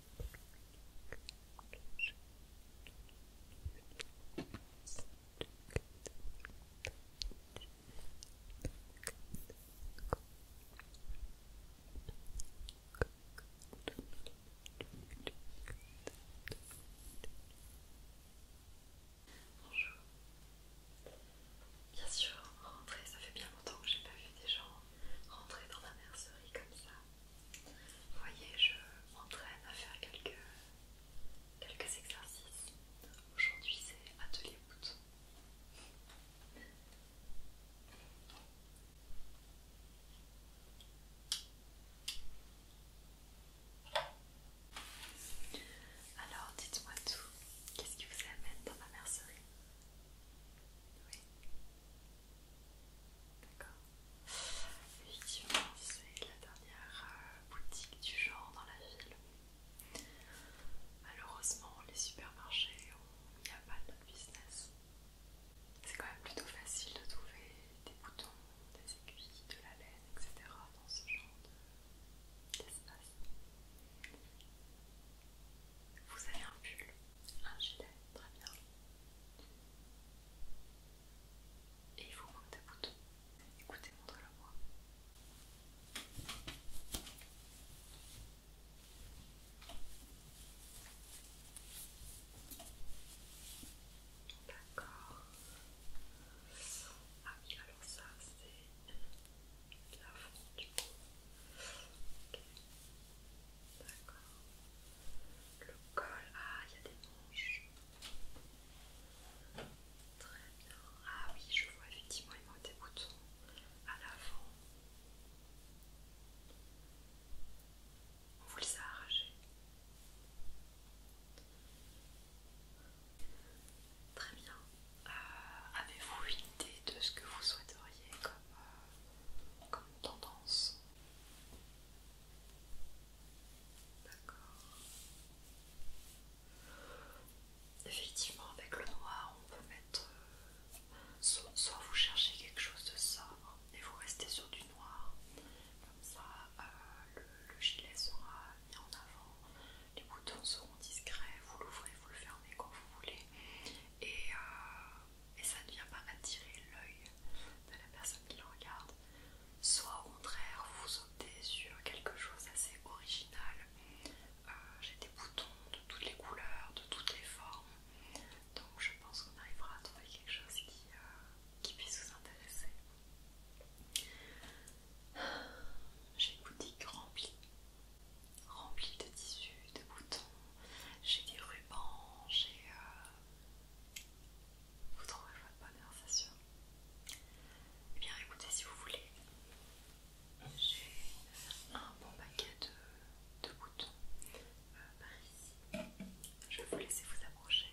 Bonjour. Bien sûr, rentrer, ça fait bien longtemps que j'ai pas vu des gens rentrer dans la mercerie comme ça. Vous voyez, je m'entraîne à faire quelques, quelques exercices. Aujourd'hui, c'est atelier bouton. Alors, dites-moi tout. Qu'est-ce qui vous amène dans ma mercerie Oui. D'accord. Effectivement, c'est la dernière euh, boutique du genre dans la ville. Malheureusement, les supermarchés n'y n'y pas de business. C'est quand même plutôt facile de trouver des boutons, des aiguilles, de la laine, etc. dans ce genre d'espace. Vous avez un pull, un gilet, très bien. Et il vous manque des boutons. Écoutez, montrez-le-moi. D'accord. Ah oui, alors ça c'est la fonte du coup. Ok. D'accord. Le col, ah, il y a des manches. Très bien. Ah oui, je vois effectivement, il manque des boutons à l'avant. On vous les a arrachés. Très bien. Euh, avez-vous une idée de ce que vous souhaiteriez comme, euh, comme tendance D'accord. Effectivement, avec le noir, on peut mettre. Euh, soit, vous cherchez quelque chose de sobre et vous restez sur du noir, comme ça euh, le, gilet sera mis en avant, les boutons seront discrets, vous l'ouvrez, vous le fermez quand vous voulez, euh, et ça ne vient pas attirer l'œil de la personne qui le regarde. Soit au contraire, vous optez sur quelque chose d'assez original. Euh, j'ai des boutons de toutes les couleurs, de toutes les formes. Donc je pense qu'on arrivera à trouver quelque chose qui, euh, puisse vous intéresser. J'ai une boutique remplie, remplie de tissus, de boutons. J'ai des rubans, j'ai euh, vous trouverez votre bonheur, c'est sûr. Eh bien, écoutez, si vous voulez, j'ai un bon paquet de, boutons euh, par ici. Je vais vous laisser vous approcher.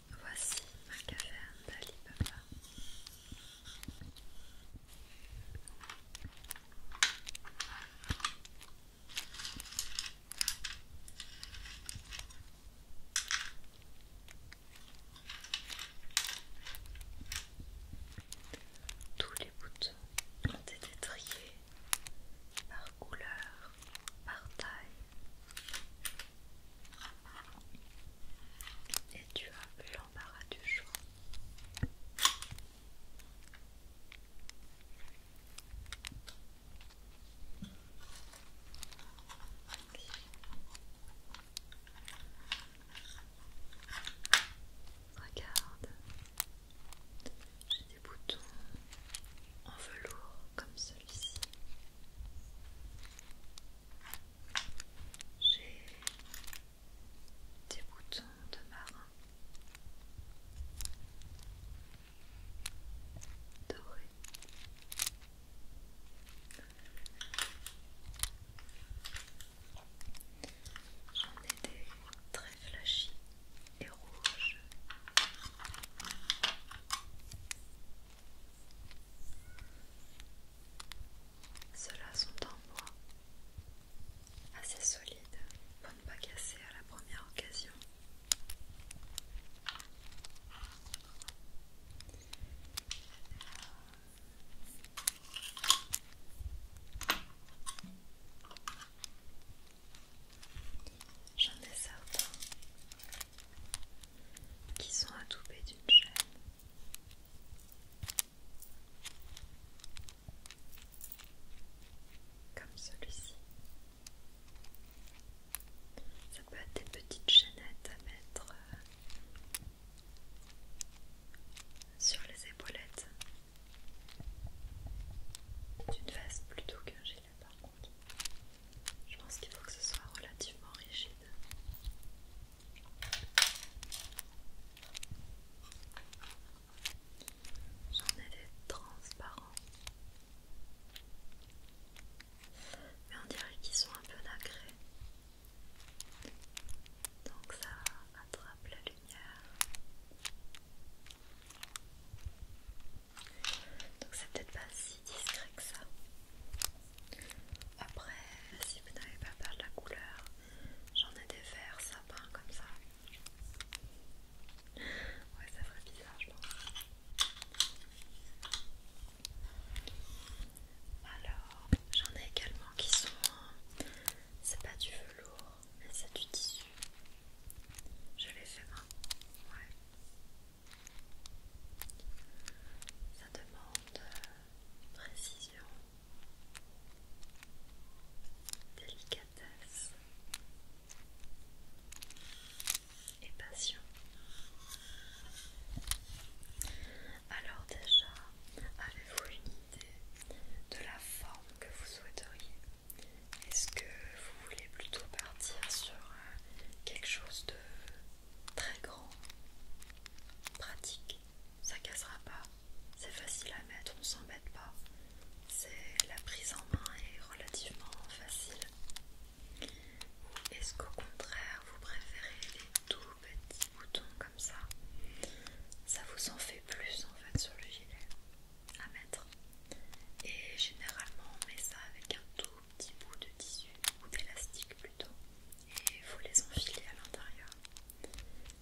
Voici ma caverne Papa Tous les boutons ont été triés par couleur, par taille et tu as l'embarras du choix. Regarde, j'ai des boutons en velours comme celui-ci. J'ai des boutons de marin dorés, J'en ai des très flashy et rouges. Ceux-là sont en bois, assez solides pour ne pas casser à la première occasion. J'en ai certains qui sont adoubés d'une chaîne comme celui-ci. Ça peut être des petites chaînettes à mettre euh, sur les épaulettes d'une veste plutôt qu'un gilet par contre. Je pense qu'il faut que ce soit relativement rigide. J'en ai des transparents. Mais on dirait qu'ils sont un peu nacrés. Donc ça attrape la lumière. Donc c'est peut-être pas si discret que ça. Après, si vous n'avez pas peur de la couleur, j'en ai des verts sapins comme ça. Ouais, ça ferait bizarre, je pense. Alors, j'en ai également qui sont. Euh, c'est pas du velours, mais c'est du tissu. Je les fais main. Ouais. Ça demande euh, précision, délicatesse et passion. Alors déjà, avez-vous une idée de la forme que vous souhaiteriez Est-ce que vous voulez plutôt partir sur euh, quelque chose de très grand, pratique, ça cassera pas, c'est facile à mettre, on ne s'embête pas, c'est la prise en main est relativement facile. Ou est-ce qu'au contraire vous préférez les tout petits boutons comme ça Ça vous en fait plus en fait sur le gilet à mettre. Et généralement on met ça avec un tout petit bout de tissu ou d'élastique plutôt et vous les enfilez à l'intérieur.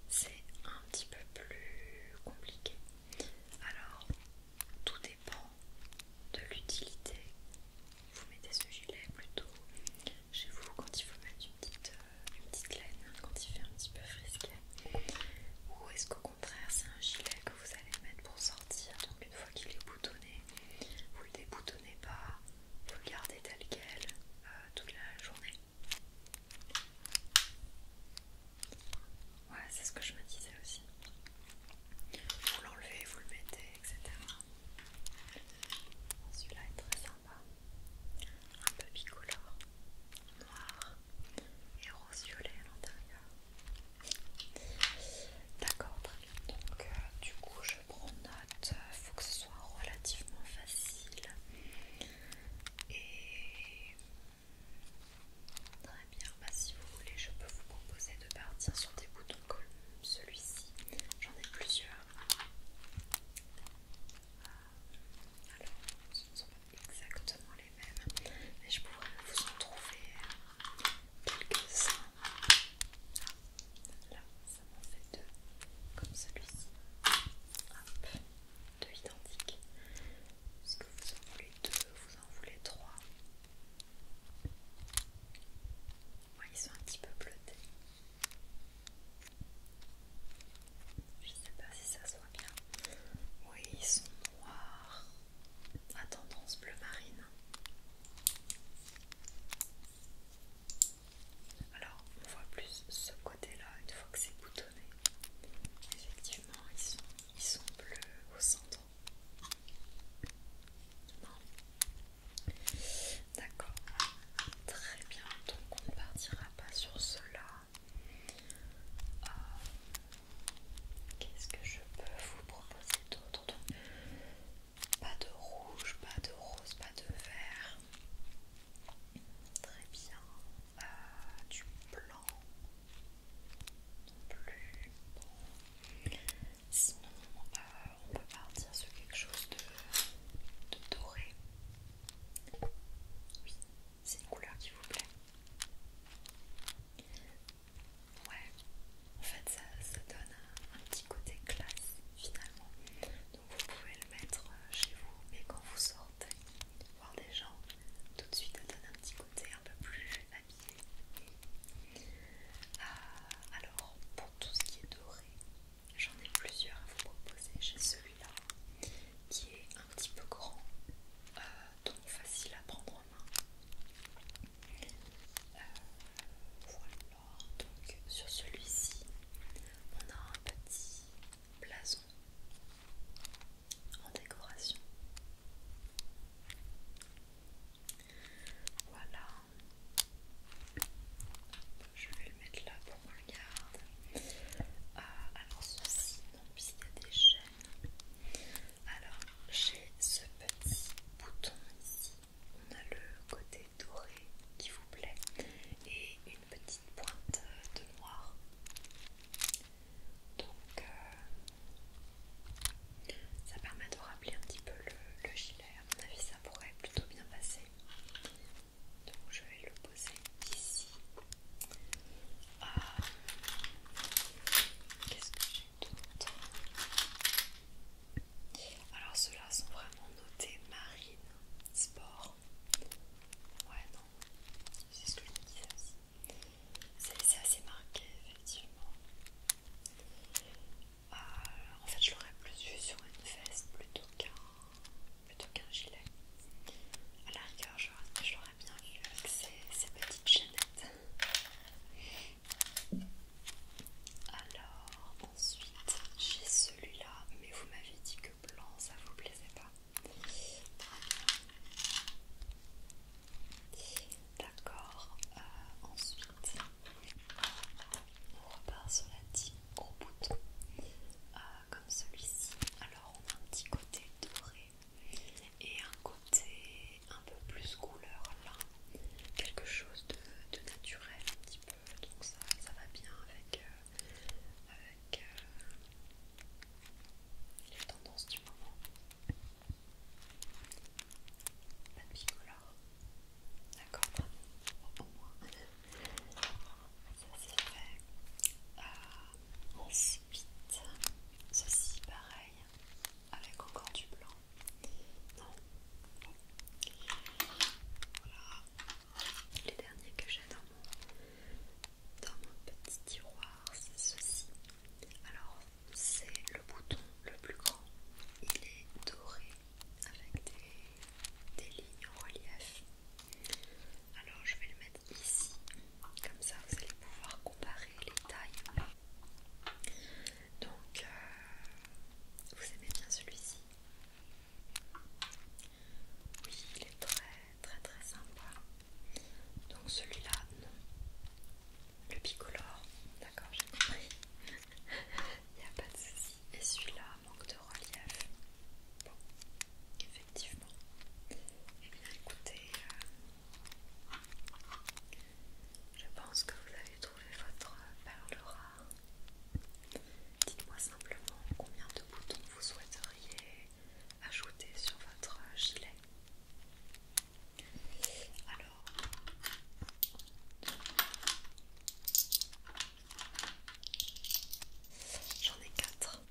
C'est un petit peu plus compliqué. Alors, tout dépend de l'utilité. Vous mettez ce gilet plutôt chez vous quand il faut mettre une petite, euh, une petite laine, quand il fait un petit peu frisquet. Ou est-ce qu'au contraire, c'est un gilet que vous allez mettre pour sortir Donc, une fois qu'il est boutonné, vous le déboutonnez pas. Vous le gardez tel quel euh, toute la journée. Ouais, c'est ce que je me disais aussi. Vous l'enlevez, vous le mettez, etc. Celui-là est très sympa. Un peu bicolore, noir et rose-violet à l'intérieur. D'accord, très bien. Donc, euh, du coup, je prends note, il faut que ce soit relativement facile. Et très bien, bah, si vous voulez, je peux vous proposer de partir sur des boutons comme celui-ci. J'en ai plusieurs. Ah, alors, ce ne sont pas exactement les mêmes, mais je pourrais vous en trouver quelques-uns. Ah, là, comme celui-ci deux identiques parce que vous en voulez deux vous en voulez trois ouais, ils sont un petit peu bleutés je sais pas si ça se voit bien oui ils sont noirs à tendance bleu marine alors on voit plus ce côté-là une fois que c'est boutonné. Effectivement, ils sont, bleus au centre. Non. D'accord. Très bien. Donc on ne partira pas sur cela. Euh, qu'est-ce que je peux vous proposer d'autre pas de rouge, pas de rose, pas de vert. Très bien. Euh, du blanc. Non plus. Bon. Sinon, euh, on peut partir sur quelque chose de, doré. Oui, c'est une couleur qui vous plaît. Ouais, en fait ça, ça donne un petit côté classe finalement. Donc vous pouvez le mettre euh, chez vous, mais quand vous sortez voir des gens, tout de suite ça donne un petit côté un peu plus habillé. Euh, alors pour tout ce qui est doré, j'en ai plusieurs à vous proposer. J'ai celui-là qui est un petit peu grand, euh, donc facile à prendre en main. voilà, donc sur celui-ci, on a un petit blason en décoration. Voilà. Je vais le mettre là pour qu'on le garde. Euh, alors ceci, non, puisqu'il y a des chaînes. Alors j'ai ce petit bouton ici on a le côté doré qui vous plaît et une petite pointe de noir. Donc euh, ça permet de rappeler un petit peu le, gilet. À mon avis, ça pourrait plutôt bien passer. Donc je vais le poser ici. Ah, qu'est-ce que j'ai d'autre alors ceux-là sont vraiment notés marine, sport. Ouais non, c'est ce que je me disais aussi. C'est assez marqué effectivement. Euh, en fait je l'aurais plus vu sur une veste plutôt qu'un gilet. A la rigueur je l'aurais bien vu avec ses petites chaînettes. Alors, Ensuite, j'ai celui-là, mais vous m'avez dit que blanc ça vous plaisait pas. D'accord, euh, ensuite on repart sur la type gros bouton euh, comme celui-ci. Alors on a un petit côté doré et un côté un peu plus couleur là, quelque chose de, de naturel un petit peu donc ça, va bien avec, euh, euh, les tendances du moment. Pas de bicolore, d'accord, au moins ça c'est fait. Euh, ensuite, ceci pareil, avec encore du blanc. Non, voilà les derniers que j'ai dans mon, petit tiroir, c'est ceci. Alors, c'est le bouton le plus grand. Il est doré avec des, lignes en relief. Alors, je vais le mettre ici. Comme ça, vous allez pouvoir comparer les tailles. Donc, euh, vous aimez bien celui-ci oui, il est très très très sympa. Donc celui-là, non. Le bicolore, d'accord, j'ai compris. Il n'y a pas de souci. Et celui-là, manque de relief. Bon, effectivement. Eh bien, écoutez, euh, je pense que vous avez trouvé votre perle rare. Dites-moi simplement combien de boutons vous souhaiteriez ajouter sur votre gilet. Alors, j'en ai quatre.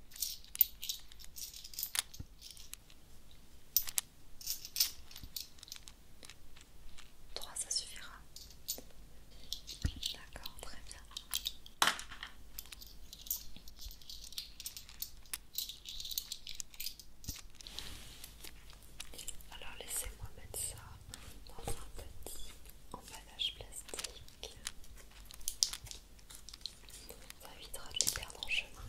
3 ça suffira. D'accord, très bien. Alors laissez-moi mettre ça dans un petit emballage plastique. Ça évitera de les perdre en chemin.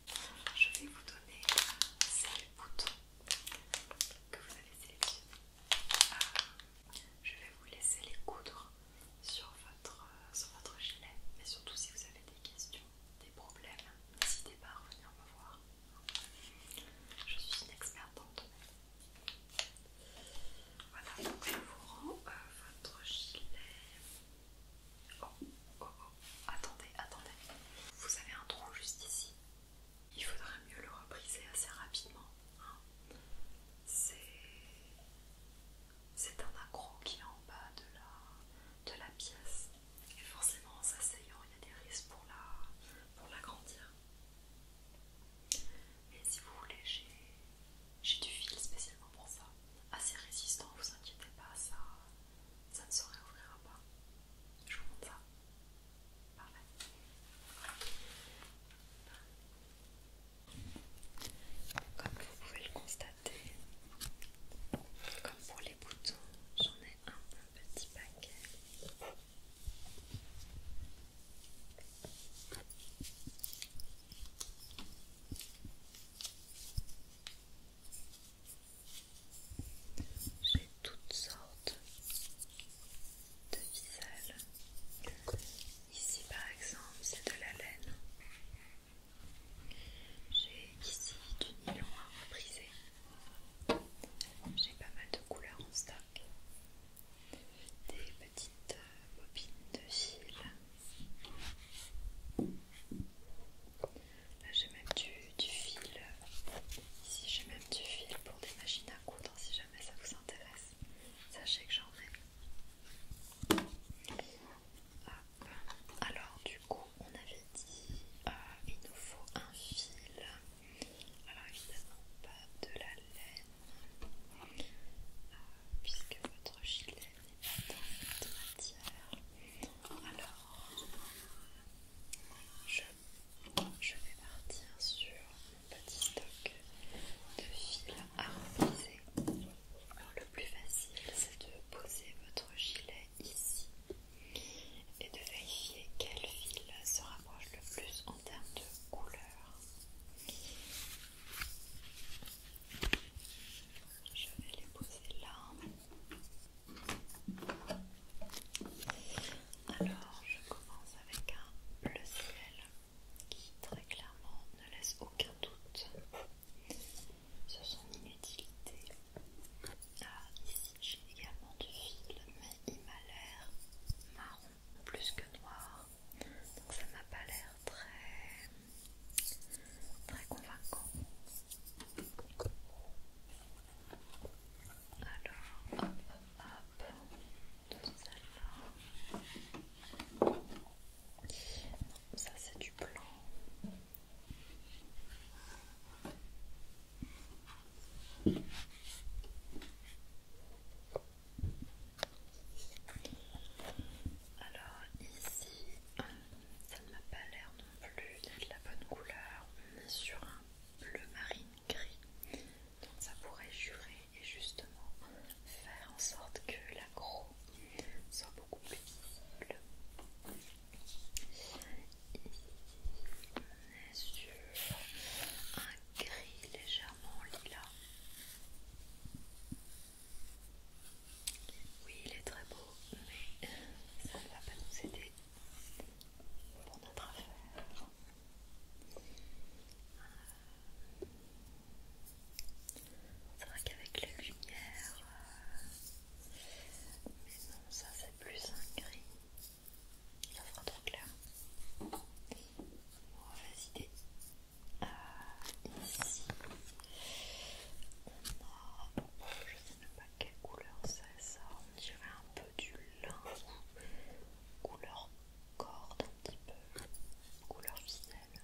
je vais vous donner ces boutons que vous avez sélectionnés. Ah, je vais vous laisser les coudre sur votre, sur votre gilet, mais surtout si vous avez des questions, des problèmes, n'hésitez pas à revenir me voir. Je suis une experte dans domaine. Voilà, donc je vous rends euh, votre gilet. Oh, oh, oh, attendez, attendez. Vous avez un trou juste ici. Il faudrait mieux le repriser assez rapidement. Hein. C'est un accro qui est en bas de la, de la pièce. Et forcément, en s'asseyant, il y a des risques pour l'agrandir. mais si vous voulez, j'ai j'ai du fil spécialement pour ça. Assez résistant, vous inquiétez pas, ça, ça ne se réouvrira pas. Je vous montre ça. Parfait. Comme vous pouvez le constater, comme pour les boutons, j'en ai un petit paquet. J'ai toutes sortes de viselles. Ici par exemple, c'est de la laine. J'ai ici du nylon à repriser. J'ai pas mal de couleurs en stock. Des petites bobines de fil. Là j'ai même du, fil, ici j'ai même du fil pour des machines à coudre si jamais ça vous intéresse, sachez que j'en ai. Alors du coup on avait dit euh, il nous faut un fil, alors évidemment pas de la laine euh, puisque votre gilet matière. Alors, je, vais partir sur un petit stock de fil à reposer. Alors, le plus facile, c'est de poser votre gilet ici et de vérifier quel fil se rapproche le plus en termes de couleur. Je vais les poser là. Alors, je commence avec un bleu ciel qui très clairement ne laisse aucun doute sur son inutilité. ici j'ai également du fil, mais il m'a l'air marron plus que noir, donc ça m'a pas l'air très Très convaincant. Alors, hop, hop, hop. celle-là. Ça, c'est du blanc. Alors ici, ça ne m'a pas l'air non plus d'être la bonne couleur. On est sur un bleu marine gris. Donc ça pourrait jurer et justement faire en sorte que la croûte soit beaucoup plus bleue. Et on est sur un gris légèrement lilas. Oui, il est très beau, mais ça ne va pas nous aider pour notre affaire. C'est vrai qu'avec la lumière, euh, mais non, ça c'est plus un gris, ça fera trop clair. On va visiter euh, ici. Je ne je sais même pas quelle couleur c'est ça, on dirait un peu du lin, couleur corde un petit peu, couleur ficelle.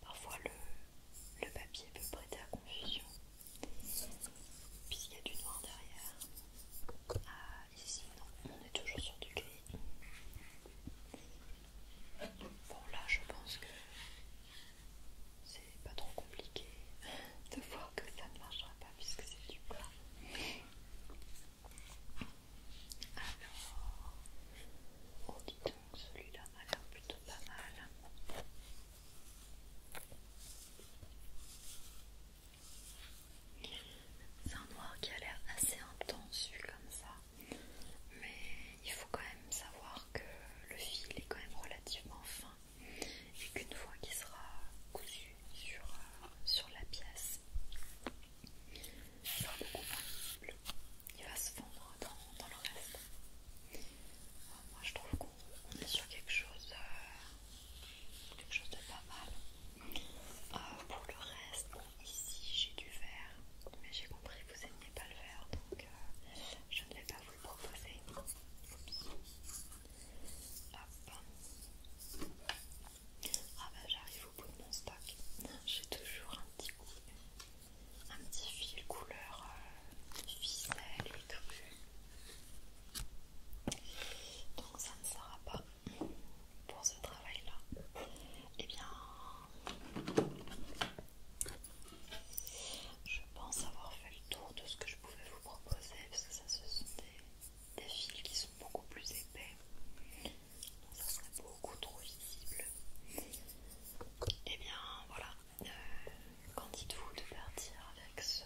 Parfois le, le papier peut prêter à confusion puisqu'il y a du noir derrière. Ah ici non, on est toujours sur du gris. Bon là je pense que c'est pas trop compliqué de voir que ça ne marchera pas puisque c'est du plat. Alors, oh donc celui-là m'a l'air plutôt pas mal. C'est un noir qui a l'air assez intense, comme ça mais il faut quand même savoir que le fil est quand même relativement fin et qu'une fois qu'il sera cousu sur, euh, la pièce, il sera beaucoup il va se fondre dans, le reste. Euh, moi je trouve qu'on est sur quelque chose, euh, chose de pas mal. pour le reste, Ici j'ai du vert, mais j'ai compris que vous n'aimez pas le vert, donc euh, je ne vais pas vous le proposer. Ah bah j'arrive au bout de mon stock. J'ai toujours un petit un petit fil couleur euh, ficelle et tout. Donc ça ne sera pas pour ce travail-là et eh bien, je pense avoir fait le tour de ce que je pouvais vous proposer, parce que ça, ce sont des, fils qui sont beaucoup plus épais. ça serait beaucoup trop visible. Et eh bien voilà, Quand euh, qu'en dites-vous de partir avec ce,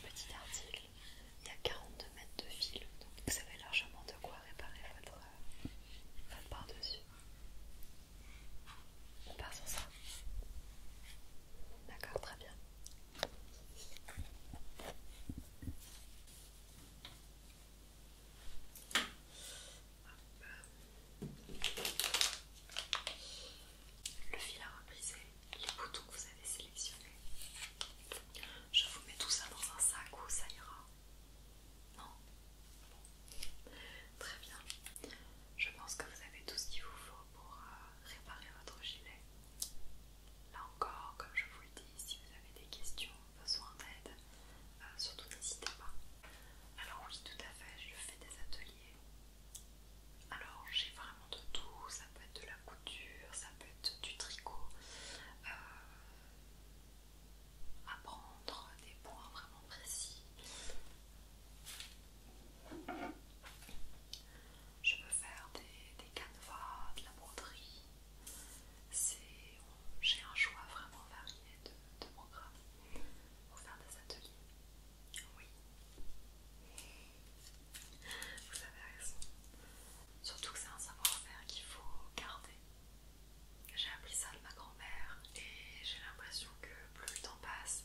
petit article Il y a 42 mètres de fil, donc vous savez largement de quoi réparer votre par-dessus. On sur ça. D'accord, très bien. Le fil à repriser, les boutons que vous avez sélectionnés. Je vous mets tout ça dans un sac où ça ira. Non Très bien. Je pense que vous avez tout ce qu'il vous faut pour euh, réparer votre gilet. Là encore, comme je vous le dis, si vous avez des questions, besoin d'aide, euh, surtout n'hésitez pas. Alors oui, tout à fait, je fais des ateliers. Alors j'ai vraiment de tout, ça peut être de la couture, ça peut être du tricot, euh, apprendre des points vraiment précis. Je peux faire des, canevas, de la broderie. J'ai un choix vraiment varié de, de programmes pour faire des ateliers. Oui. Vous avez raison. Surtout que c'est un savoir-faire qu'il faut garder. J'ai appris ça de ma grand-mère et j'ai l'impression que plus le temps passe,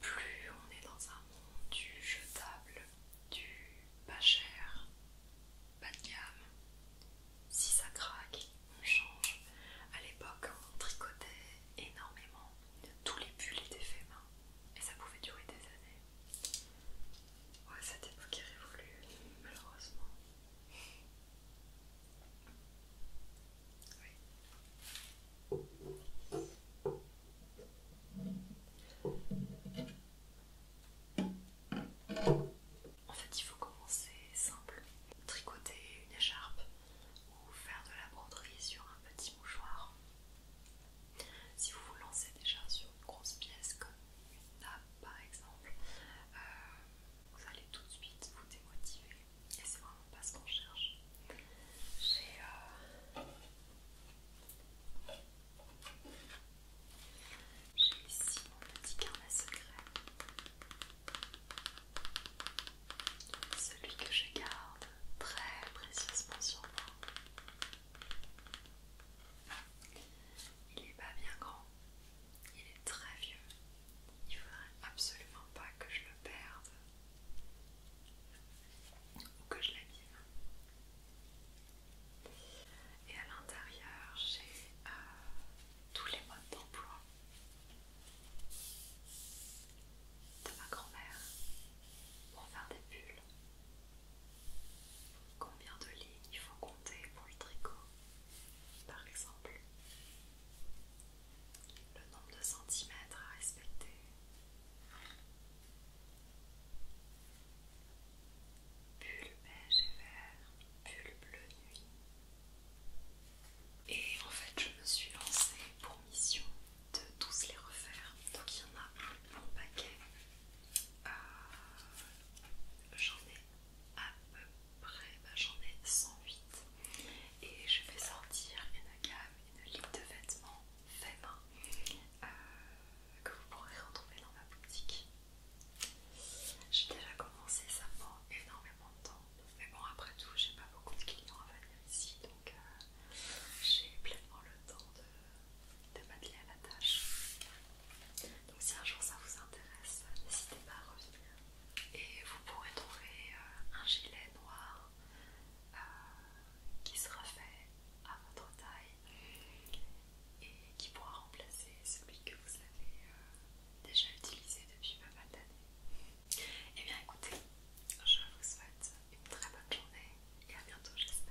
plus on est dans un monde du jetable, du pas cher, bas de gamme. Si ça craque, on change. À l'époque, on tricotait énormément. Tous les pulls étaient faits main et ça pouvait durer des années. Ouais, cette époque est révolue, malheureusement. En fait, il faut commencer simple. Tricoter une écharpe ou faire de la broderie sur un petit mouchoir. Si vous vous lancez déjà sur une grosse pièce comme une nappe par exemple, euh, vous allez tout de suite vous démotiver et c'est vraiment pas ce qu'on cherche. J'ai euh, ici mon petit carnet secret, celui que je garde très précieusement sur moi. Il n'est pas bien grand, il est très vieux. Il ne faudrait absolument pas que je le perde ou que je l'abîme. Et à l'intérieur, j'ai euh, tous les modes d'emploi de ma grand-mère pour faire des bulles. Combien de lignes il faut compter pour le tricot Par exemple, le nombre de centimètres à respecter. le beige et vert, le bleu nuit. Et en fait, je me suis lancée pour mission de tous les refaire. Donc il y en a un paquet euh, j'en ai à peu près, bah, j'en ai 108 et je vais sortir une gamme, une ligne de vêtements fait main euh, que vous pourrez retrouver dans ma boutique. J'ai déjà commencé, ça prend énormément de temps, mais bon, après tout, j'ai pas beaucoup de clients à venir ici donc euh, j'ai pleinement le temps de de matelas à la tâche. Donc si un jour ça vous intéresse, n'hésitez pas à revenir. Et vous pourrez trouver euh, un gilet noir euh, qui sera fait à votre taille et qui pourra remplacer celui que vous avez euh, déjà utilisé depuis pas mal d'années. Et eh bien écoutez, je vous souhaite une très bonne journée et à bientôt j'espère.